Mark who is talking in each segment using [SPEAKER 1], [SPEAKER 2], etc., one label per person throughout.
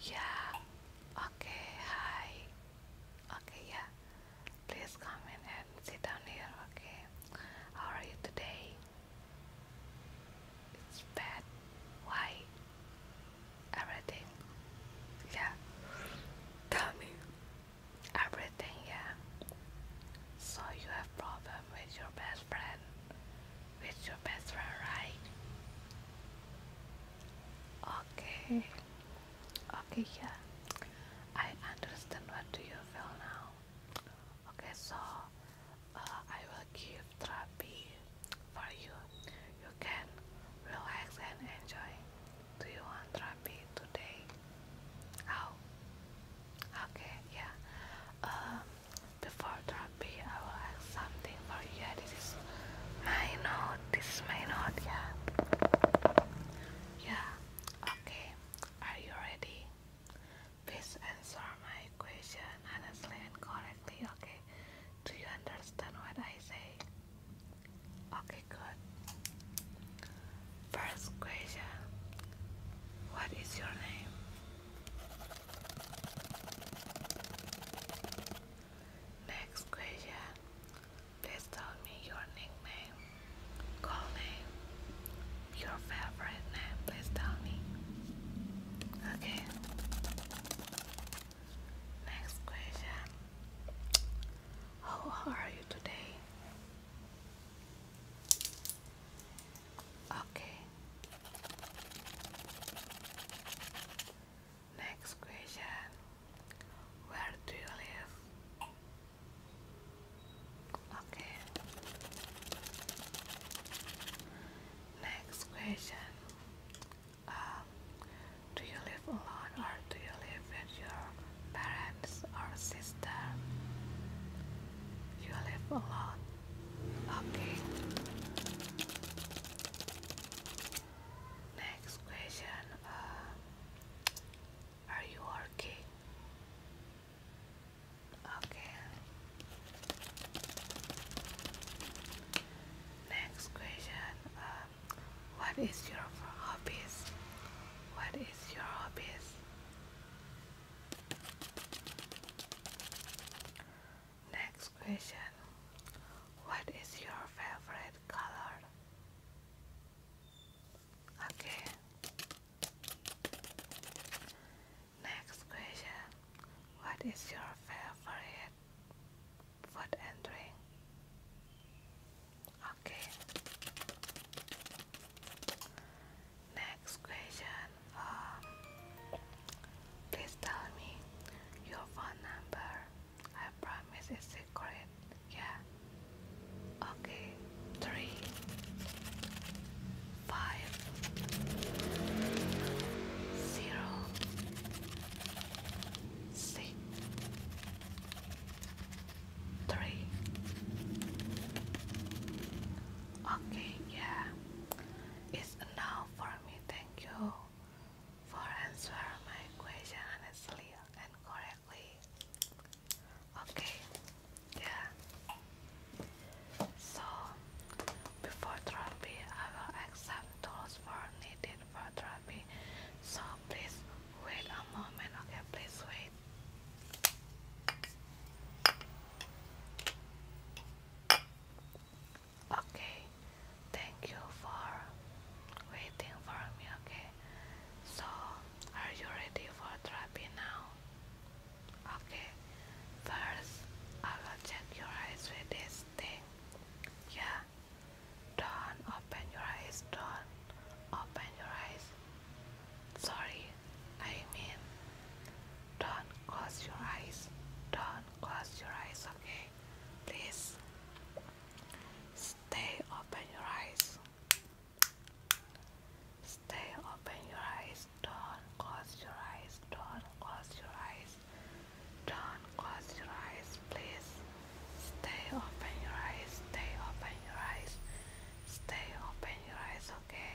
[SPEAKER 1] Yeah. Okay. Hi. Okay. Yeah. Please come in and sit down here. Okay. How are you today? It's bad. Why? Everything. Yeah. Tell me. Everything. Yeah. So you have problem with your bed best friend. With your best friend, right? Okay. Okay, yeah. I understand what do you feel now. Okay, so uh, I will give therapy for you. You can relax and enjoy. Do you want therapy today? Oh. Okay, yeah. Um, before therapy, I will ask something for you. Yeah, this is my This is my Yeah. Yeah. Okay. Are you ready? Please answer my question honestly and correctly. Okay. Do you understand what I say? Okay. Good. First question. What is your name? Next question. Please tell me your nickname, call name, your favorite name. Please tell me. Okay. Next question. How are you today? Okay. Next question. Where do you live? Okay. Next question. Um, do you live alone or do you live with your parents or sister? You live alone. Okay. Next question. Uh, are you working? Okay. Next question. Uh, what is your hobbies? What is your hobbies? Next question What is your favorite color? Okay. Next question What is your favorite food and drink? Okay. Next question. Um, please tell me your phone number. I promise it's secret. Yeah. Okay. Three. Five. Zero. Six. Three. Okay, yeah, it's enough for me. Thank you for answering my question honestly and correctly. Okay, yeah. So, before therapy, I will accept tools for needed for therapy. So, please wait a moment. Okay, please wait. Okay, thank you for waiting for me. Okay, so are you ready for therapy now? Okay, first I will check your eyes with this thing. Yeah, don't open your eyes, don't open your eyes. Sorry, I mean, don't close your eyes. Don't close your eyes, okay? Please stay open your eyes. Stay open your eyes. Don't close your eyes. Don't close your eyes. Don't close your eyes, please. Stay open your eyes. Stay open your eyes. Stay open your eyes, okay?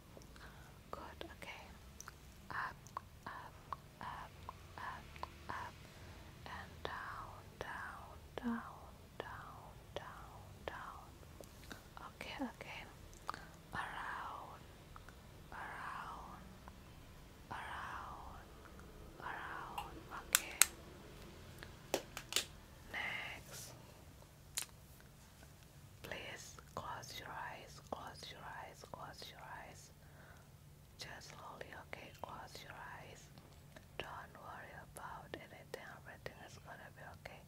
[SPEAKER 1] Good, okay. Up, up, up, up, up, and down, down, down, down, down, down. Okay, okay. Around, around, around, around. Okay. Next. Please close your eyes, close your eyes, close your eyes. Just slowly, okay? Close your eyes. Don't worry about anything, everything is gonna be okay.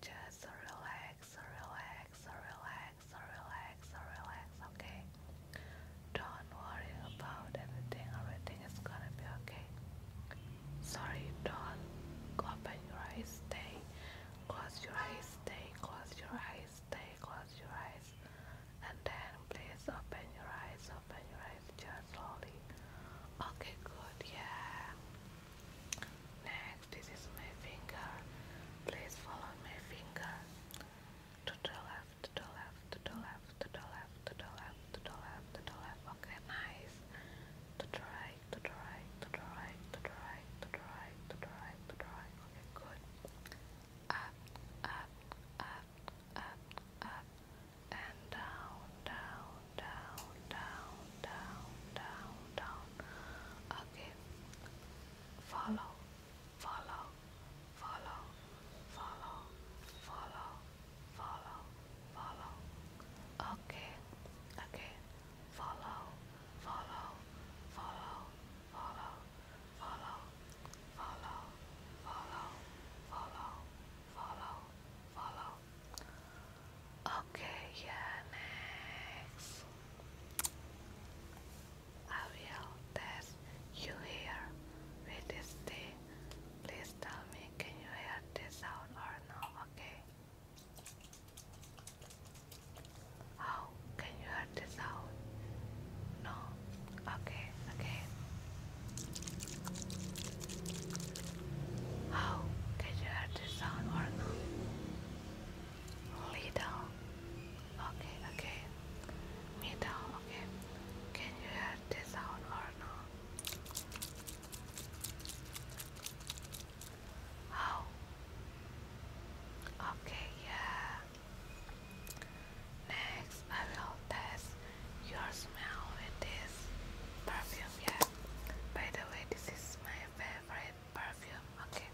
[SPEAKER 1] Just relax, relax, relax, relax, relax, okay? Don't worry about anything, everything is gonna be okay. Sorry, don't open your eyes, stay. Close your eyes, stay, close your eyes, stay, close your eyes, and then please open your eyes, open your eyes just slowly. Okay, good, yeah. Next, this is my finger. Please follow my finger to the left, to the left, to the left, to the left, to the left, to the left, to the left. Okay, nice. To the up, up, up, up, up, and down, down, down, down, down, down, down. Okay. Follow, follow, follow, follow, follow, follow, follow. Okay, okay follow, follow, follow, follow, follow, follow, follow, follow, follow, follow. Okay, yeah, next. I will test you here with this thing. Please tell me, can you hear this sound or no? Okay. How oh, can you hurt this out? No. Okay, okay. How oh, can you hurt this sound or no? Little. Okay, okay. Middle, okay. Can you hear this sound or no? Oh. Okay, yeah. Next, I will test your smell with this perfume. Yeah. By the way, this is my favorite perfume. Okay.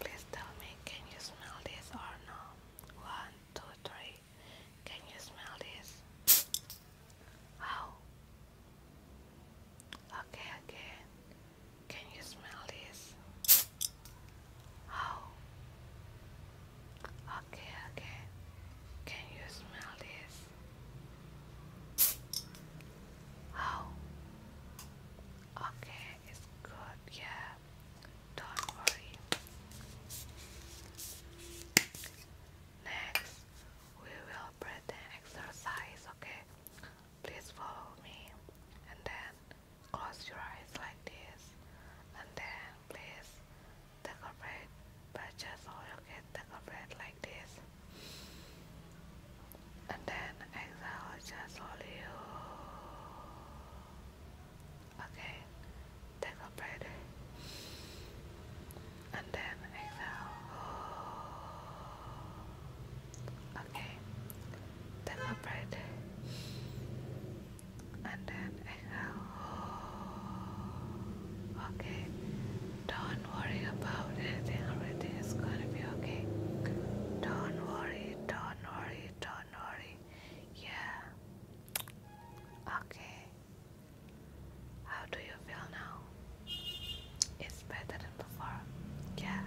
[SPEAKER 1] Please tell me, can you smell this or no? One, two, three. Can you smell this? Wow. Okay, okay. Can you smell this? Oh. Okay, okay. Can you smell this? Oh. Okay, it's good, yeah. Don't worry. Next, we will breathing exercise, okay? Please follow me and then close your eyes like this and then please take a breath but just all you get take a breath like this and then exhale just hold you okay take a breath and then exhale. Okay, take a breath and then exhale. Okay, don't worry about anything, everything is gonna be okay. Don't worry, don't worry, don't worry. Yeah, okay. How do you feel now? It's better than before. Yeah,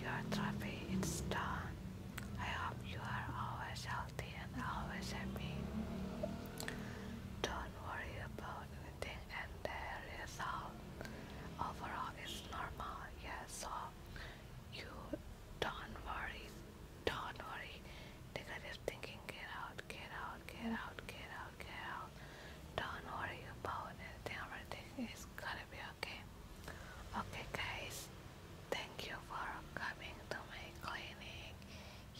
[SPEAKER 1] your therapy is done. I hope you are always healthy and always happy. Don't worry about anything and the result overall is normal. Yeah, so you don't worry. Don't worry. Negative thinking, get out, get out, get out, get out, get out don't worry about anything. everything is gonna be okay okay guys thank you for coming to my cleaning.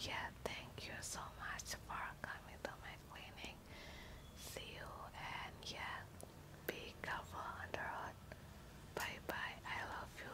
[SPEAKER 1] yeah thank you so much for coming to my cleaning. see you and yeah be careful under hot. bye bye I love you